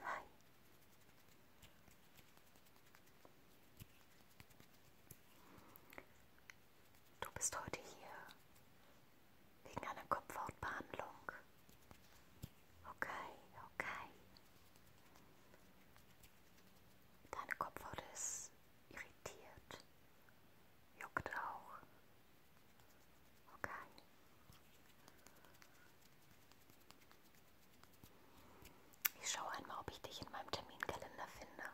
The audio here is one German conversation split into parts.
はい「Du bist heute hier wegen einer Kopfhautbehandlung. Okay, okay. Deine Kopfhaut ist irritiert. Juckt auch. Okay. Ich schaue einmal, ob ich dich in meinem Terminkalender finde.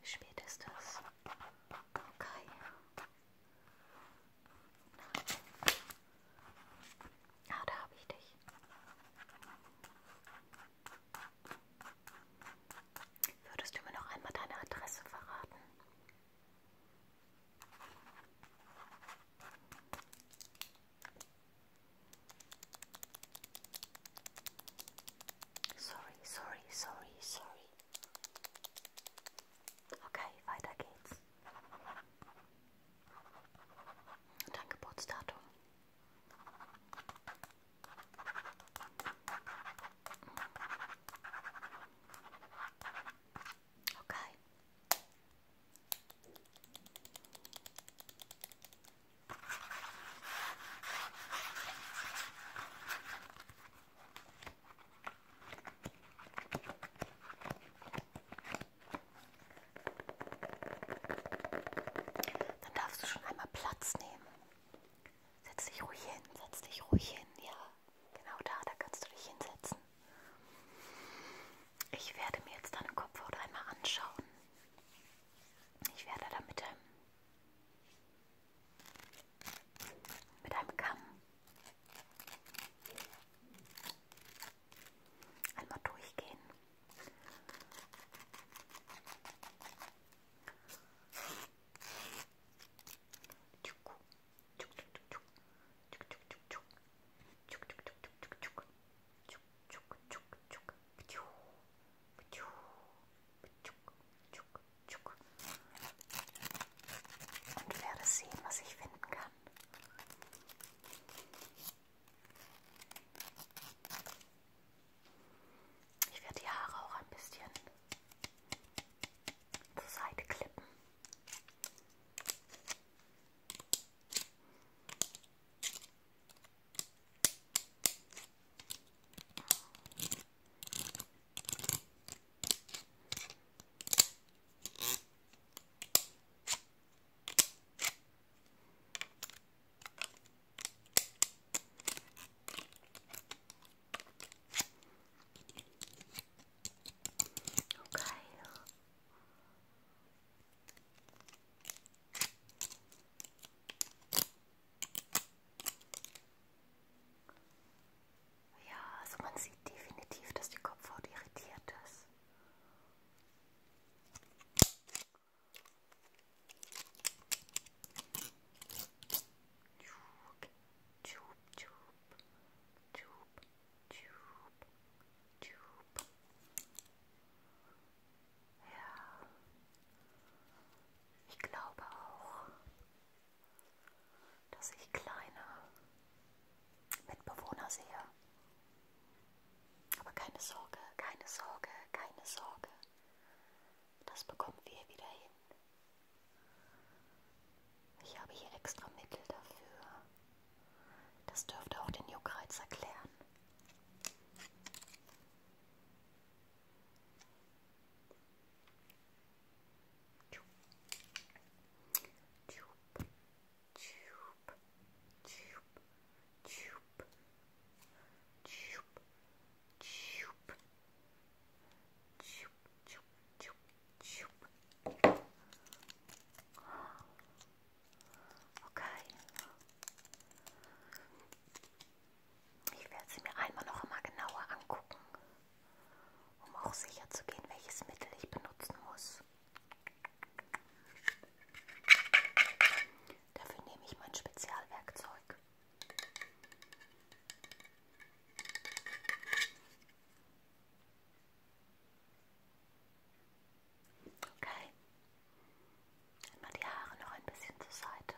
Wie spät ist das? Okay. Ah, da habe ich dich. Würdest du mir noch einmal deine Adresse verraten? Sorry, sorry, sorry, sorry. Okay, weiter geht's. Und dein Geburtsdatum? Okay. Dann darfst du schon einmal Platz nehmen. Setz dich ruhig hin, setz dich ruhig hin, ja. Genau da, da kannst du dich hinsetzen. Ich werde mir jetzt deine Kopfhaut einmal anschauen. Ich werde da mit einem, mit einem Kamm einmal durchgehen. Und werde sehen, was ich finden kann. Ich werde die Haare auch ein bisschen zur Seite klippen. Okay. Ja, also man sieht definitiv, dass die Kopfhaut irritiert ist. Tschub, tschub, tschub, tschub, tschub, tschub. Ja, ich glaube auch, dass ich kleine Mitbewohner sehe. Aber keine Sorge, keine Sorge, keine Sorge. Das bekommen wir wieder hin. Ich habe hier extra Mittel dafür. Das dürfte auch den Juckreiz erklären. Tube, tube, tube, tube, Okay. Ich werde sie mir einmal noch einmal genauer angucken, um auch sicher zu gehen, welches Mittel ich benutzen muss. Dafür nehme ich mein Spezialwerkzeug. Okay. Einmal die Haare noch ein bisschen zur Seite.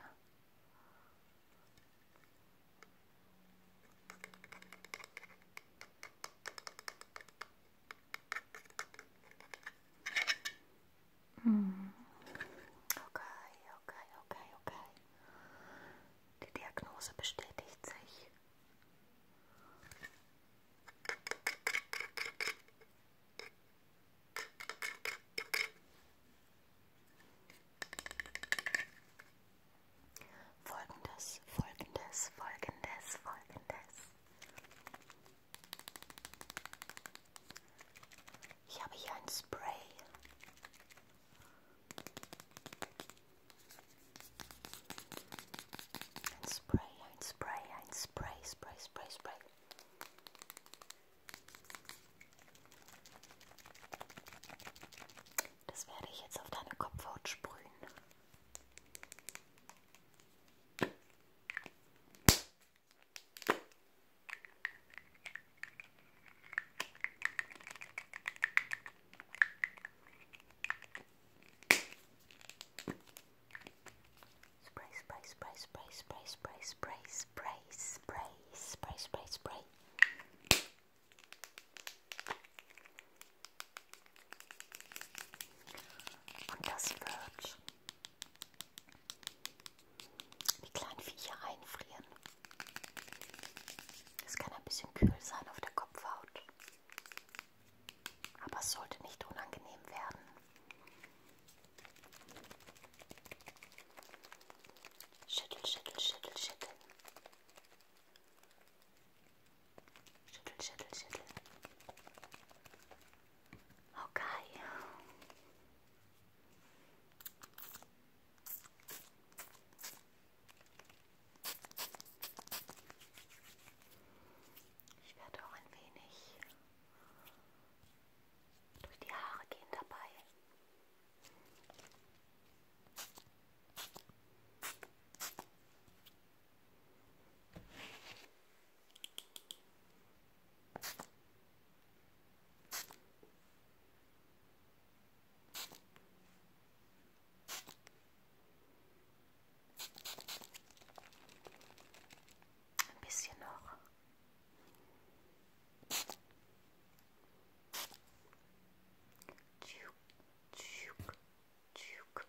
Mm. Okay, okay, okay, okay. Die Diagnose bestätigt sich. Folgendes, folgendes, folgendes, folgendes. Ich habe hier ein Spray. Ein Spray, ein Spray, ein Spray, Spray, Spray, Spray. Das werde ich jetzt auf deine Kopfhaut sprühen. Spray, spray, spray, spray, spray, spray, spray, spray, spray, spray, spray, spray. Die kleinen Viecher einfrieren. Es kann ein bisschen kühl sein auf der Kopfhaut. Aber es sollte nicht unangenehm werden. Schüttel, schüttel, schüttel, schüttel. Schüttel, schüttel, schüttel. Okay. Ich werde auch ein wenig durch die Haare gehen dabei. Ein bisschen noch. Tschuk, tschuk, tschuk.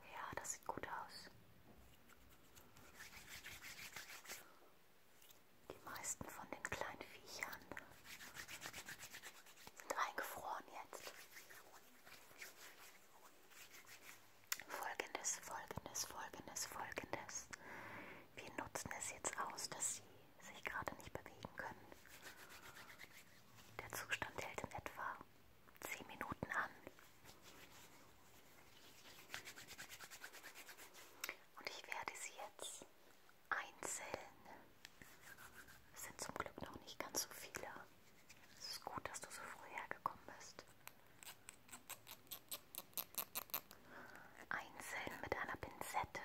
Ja, das sieht gut aus. Die meisten von den kleinen Viechern sind eingefroren jetzt. Folgendes, folgendes, folgendes, folgendes. Wir nutzen es jetzt aus, dass sie sich gerade nicht bewegen können. Der Zustand hält in etwa 10 Minuten an. Und ich werde sie jetzt einzeln. Es sind zum Glück noch nicht ganz so viele. Es ist gut, dass du so früh hergekommen bist. Einzeln mit einer Pinzette.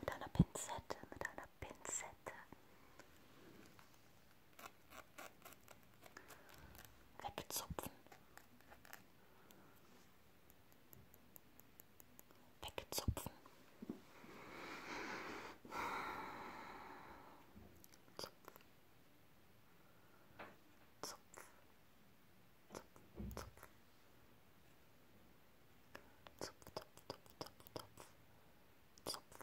Mit einer Pinzette, mit einer Pinzette Wegzupfen. Wegzupfen. Zupf. Zupf. Zupf. Zupf. Zupf, Zupf, Zupf, Zupf, Zupf. Zopf.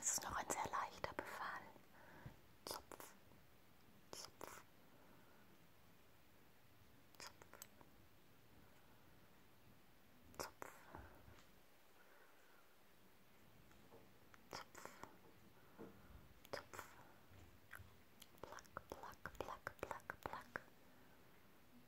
Es ist noch ein sehr leichter Befall. Zopf. Zopf. Zopf. Zopf. Zopf. Zopf. Plack, plack, plack, plack, plack.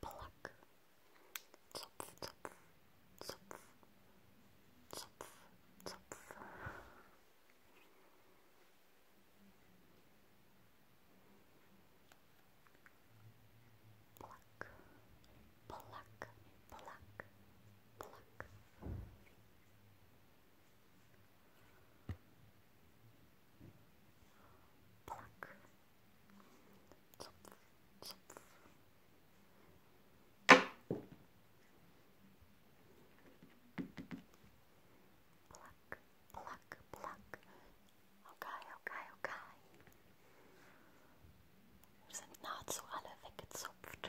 pluck, zopf, zopf, zopf, Pluck, pluck, pluck, pluck. Pluck, Zupf, zupf. Pluck, pluck, pluck. Okay, okay, okay. Wir sind nahezu alle weggezupft.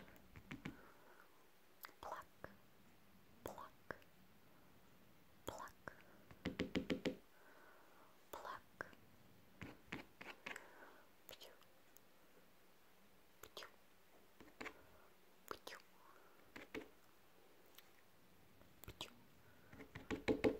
Pluck, pluck. pluck, pluck, Pew. Pew. Pew. Pew. Pew. Pew. Okay.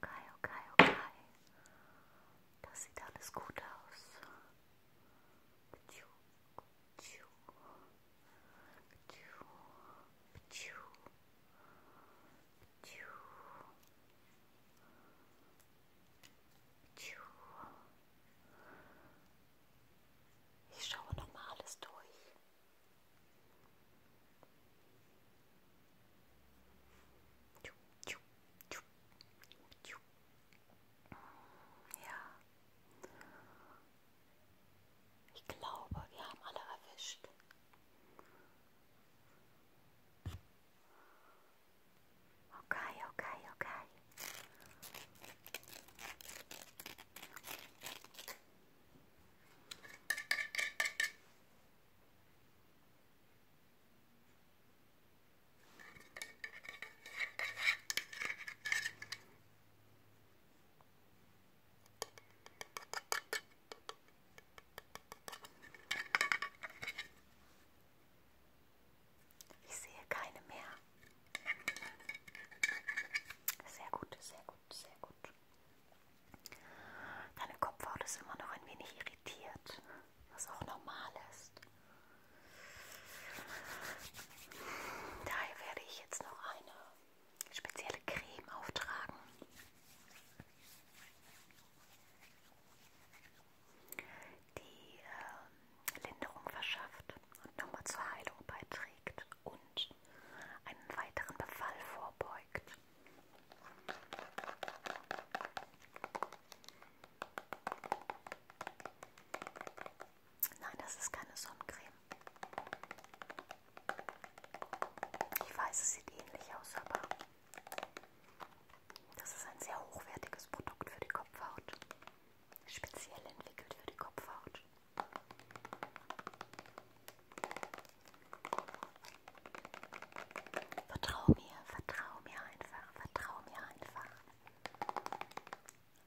Okay, okay, okay. Das sieht alles gut aus. Tschuk. Ich schaue nochmal alles durch. Tschub, tschub, tschub, tschub, ja. Ich glaube, wir haben alle erwischt. Okay, okay, okay. Ich sehe keine mehr. Sehr gut, sehr gut, sehr gut. Deine Kopfhaut ist immer noch ein wenig irritiert, was auch normal ist. Daher werde ich jetzt noch eine spezielle Creme auftragen. Die äh, Linderung verschafft und nochmal zur Heilung beiträgt und einen weiteren Befall vorbeugt. Nein, das ist keine Sonnencreme. Ich weiß, es sieht ähnlich aus, aber das ist ein sehr hochwertiges Produkt für die Kopfhaut. Speziell entwickelt für die Kopfhaut. Vertrau mir, vertrau mir einfach, vertrau mir einfach.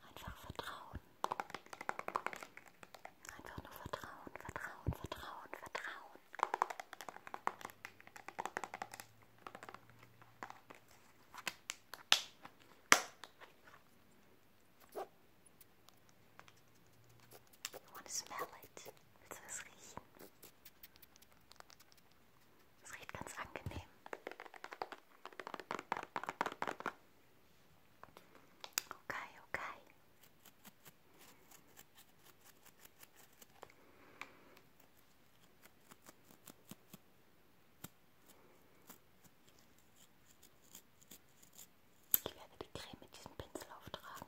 Einfach vertrauen. Einfach nur vertrauen, vertrauen, vertrauen, vertrauen. You want to smell it? Willst du es riechen? Es riecht ganz angenehm. Okay, okay. Ich werde die Creme mit diesem Pinsel auftragen.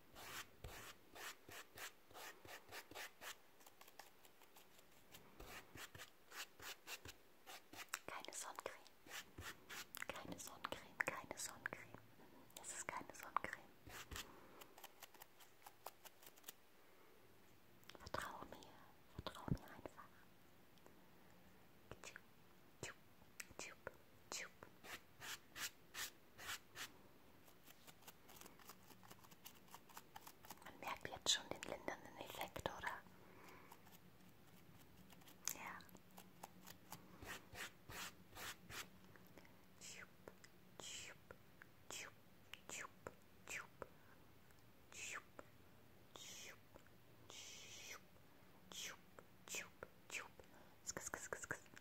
Keine Sonnencreme. Keine Sonnencreme, keine Sonnencreme. Es ist keine Sonnencreme. Vertrau mir, vertrau mir einfach. Tschub, tschub, tschub, tschub. Man merkt jetzt schon den lindernden Effekt, oder? Ja.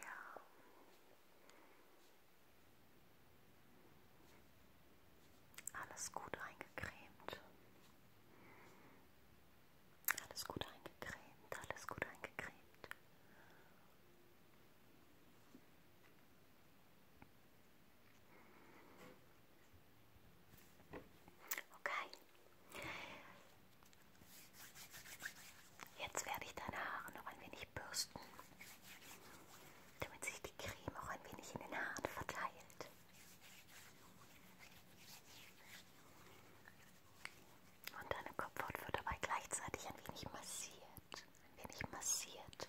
Ja. Alles gut eingecremt. Alles gut eingecremt, alles gut eingecremt. Okay. Jetzt werde ich deine Haare noch ein wenig bürsten, damit sich die Creme auch ein wenig in den Haaren verteilt. Und deine Kopfhaut wird dabei gleichzeitig ein wenig massiert, ein wenig massiert.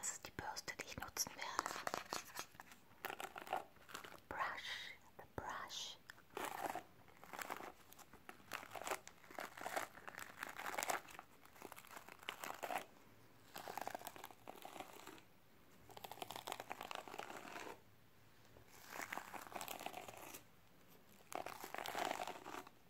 Das ist die Bürste, die ich nutzen werde. Brush, the brush.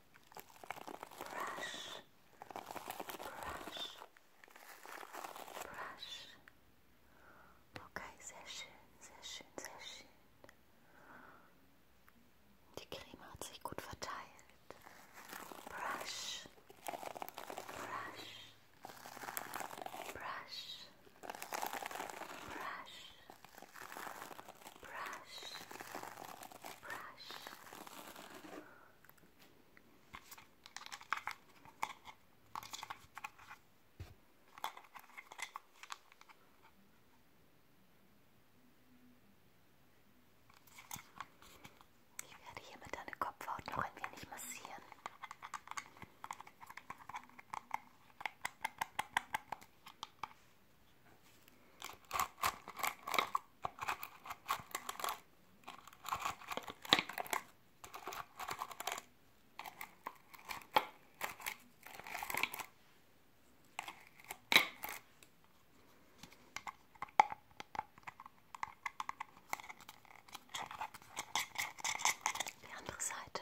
brush, brush, brush. Okay, sehr schön, sehr schön, sehr schön. Die Creme hat sich gut verteilt. Brush, brush, brush, brush, brush, brush. Ich werde hier mit deiner Kopfhaut noch ein wenig massieren. Die andere Seite.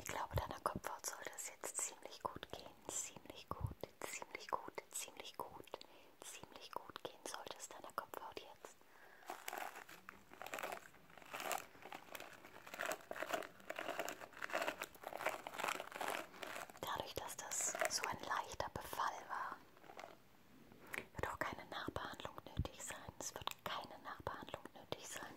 Ich glaube, deiner Kopfhaut soll das jetzt ziemlich gut gehen. Ziemlich gut, ziemlich gut, ziemlich gut, ziemlich gut gehen sollte es deiner Kopfhaut jetzt. Dadurch, dass das so ein leichter Befall war, wird auch keine Nachbehandlung nötig sein. Es wird keine Nachbehandlung nötig sein.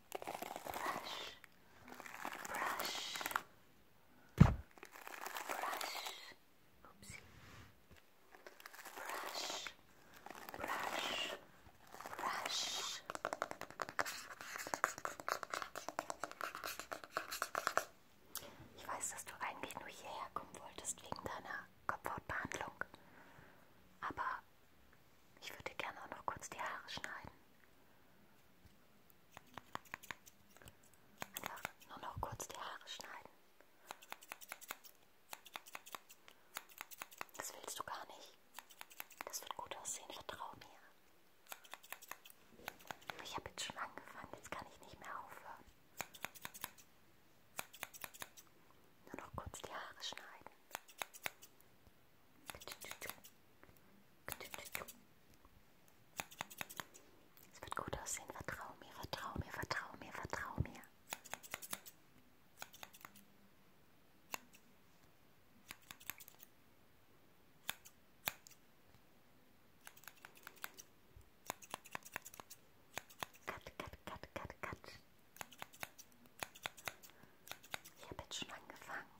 brush, brush, brush, oopsie, brush, brush, brush. Ich weiß, dass du eigentlich nur hierher kommen wolltest wegen deiner Kopfhautbehandlung, aber ich würde gerne auch noch kurz die Haare schneiden. Einfach nur noch kurz die Haare schneiden. Das willst du gar nicht. Das wird gut aussehen, vertrau mir. Ich habe jetzt schon angefangen, jetzt kann ich nicht mehr aufhören. Nur noch kurz die Haare schneiden. Es wird gut aussehen. Vertrau mir, vertrau mir, vertrau mir, vertrau mir. Cut, cut, cut, cut, cut. Ich habe jetzt schon angefangen.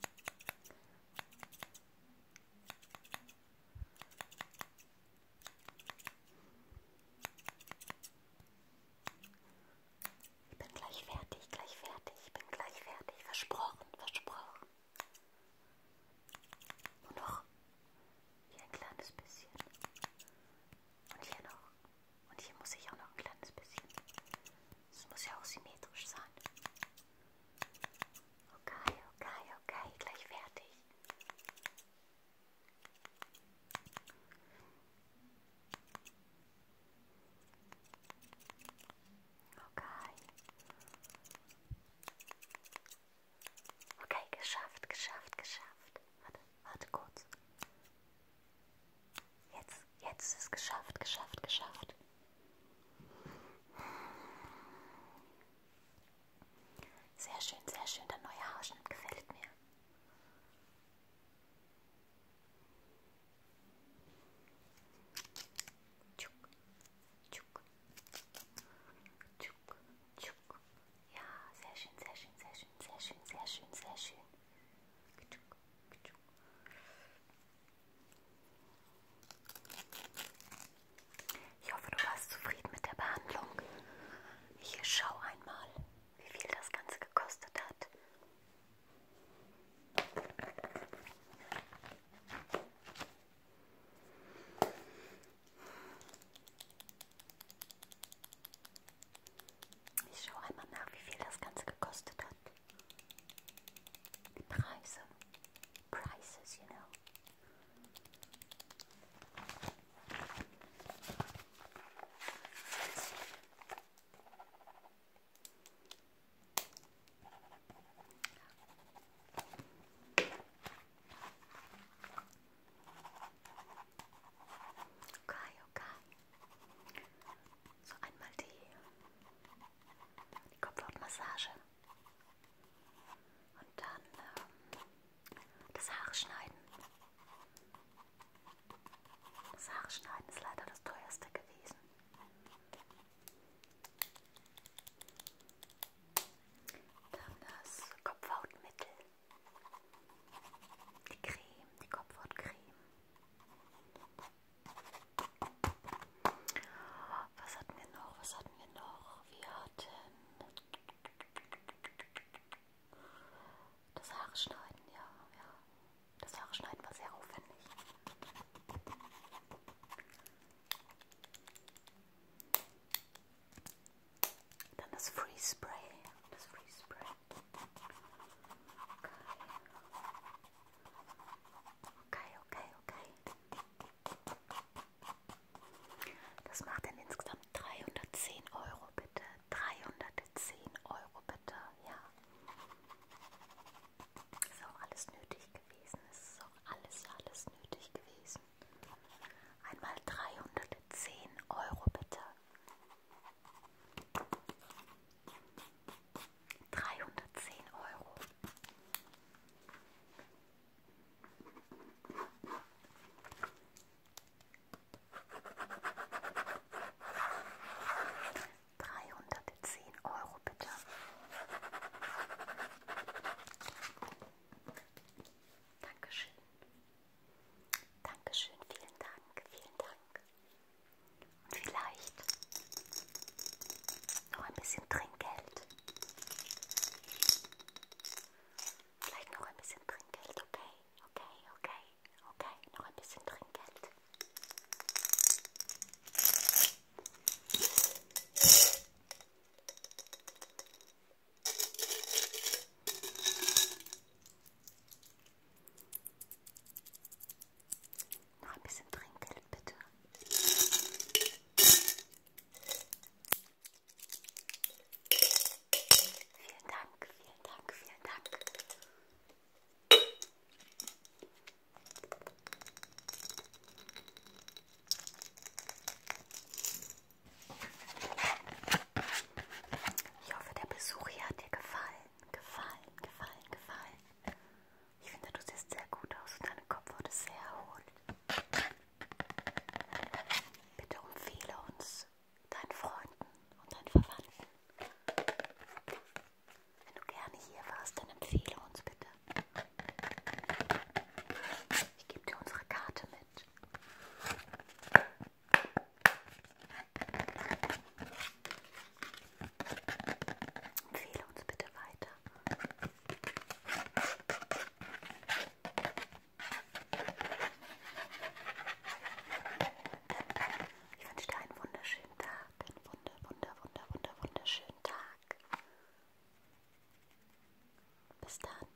Ich bin gleich fertig, gleich fertig, ich bin gleich fertig. Versprochen, versprochen. Und noch hier ein kleines bisschen. Und hier noch. Und hier muss ich auch noch ein kleines bisschen. Es muss ja auch symmetrisch sein. Okay, okay, okay, gleich fertig. Okay. Okay, geschafft, geschafft, geschafft. Warte, warte kurz. Jetzt, jetzt ist es geschafft, geschafft, geschafft. Sehr schön, sehr schön. Der neue Haarschnitt gefällt mir. Tschuk, tschuk, tschuk, tschuk. Ja, sehr schön, sehr schön, sehr schön, sehr schön, sehr schön, sehr schön. Ich hoffe, du warst zufrieden mit der Behandlung. Hier schau einmal, wie viel das Ganze gekostet hat. Ich schaue einmal nach, wie viel das Ganze gekostet hat. Die Preise. Prices, you know. Okay, okay. So einmal die, die Kopfhautmassage und dann ähm, das Haare schneiden. Das Haare schneiden ist leider das teuerste gewesen. Dann das Kopfhautmittel. Die Creme, die Kopfhautcreme. Was hatten wir noch? Was hatten wir noch? Wir hatten das Haare schneiden, ja, ja. Das Haare schneiden war sehr aufwendig. Dann das Free Spray. Das Free Spray. Okay, okay, okay. Das macht dann insgesamt 310 Euro bitte. 310 Euro bitte, ja. Ist auch alles nötig gewesen. Es ist auch alles, alles nötig gewesen. Einmal 310 Euro bitte. 310 Euro. Dreihundertzehn Euro bitte. Dankeschön. Dankeschön, vielen Dank, vielen Dank. Und vielleicht noch ein bisschen Trinkgeld. Vielleicht noch ein bisschen Trinkgeld, okay, okay, okay, okay, noch ein bisschen Trinkgeld. Noch ein bisschen Trinkgeld, bitte. Vielen Dank, vielen Dank, vielen Dank. Ich hoffe, der Besuch hier hat dir gefallen. Gefallen, gefallen, gefallen. Ich finde, du siehst sehr gut aus und deine Kopf wurde sehr erholt. Bitte empfehle uns deinen Freunden und deinen Verwandten. Wenn du gerne hier warst, dann empfehle uns bitte. Ich gebe dir unsere Karte mit. Empfehle uns bitte weiter. Ich wünsche dir einen wunderschönen Tag. Einen wunder, wunder, wunder, wunder, wunderschönen Tag. Bis dann.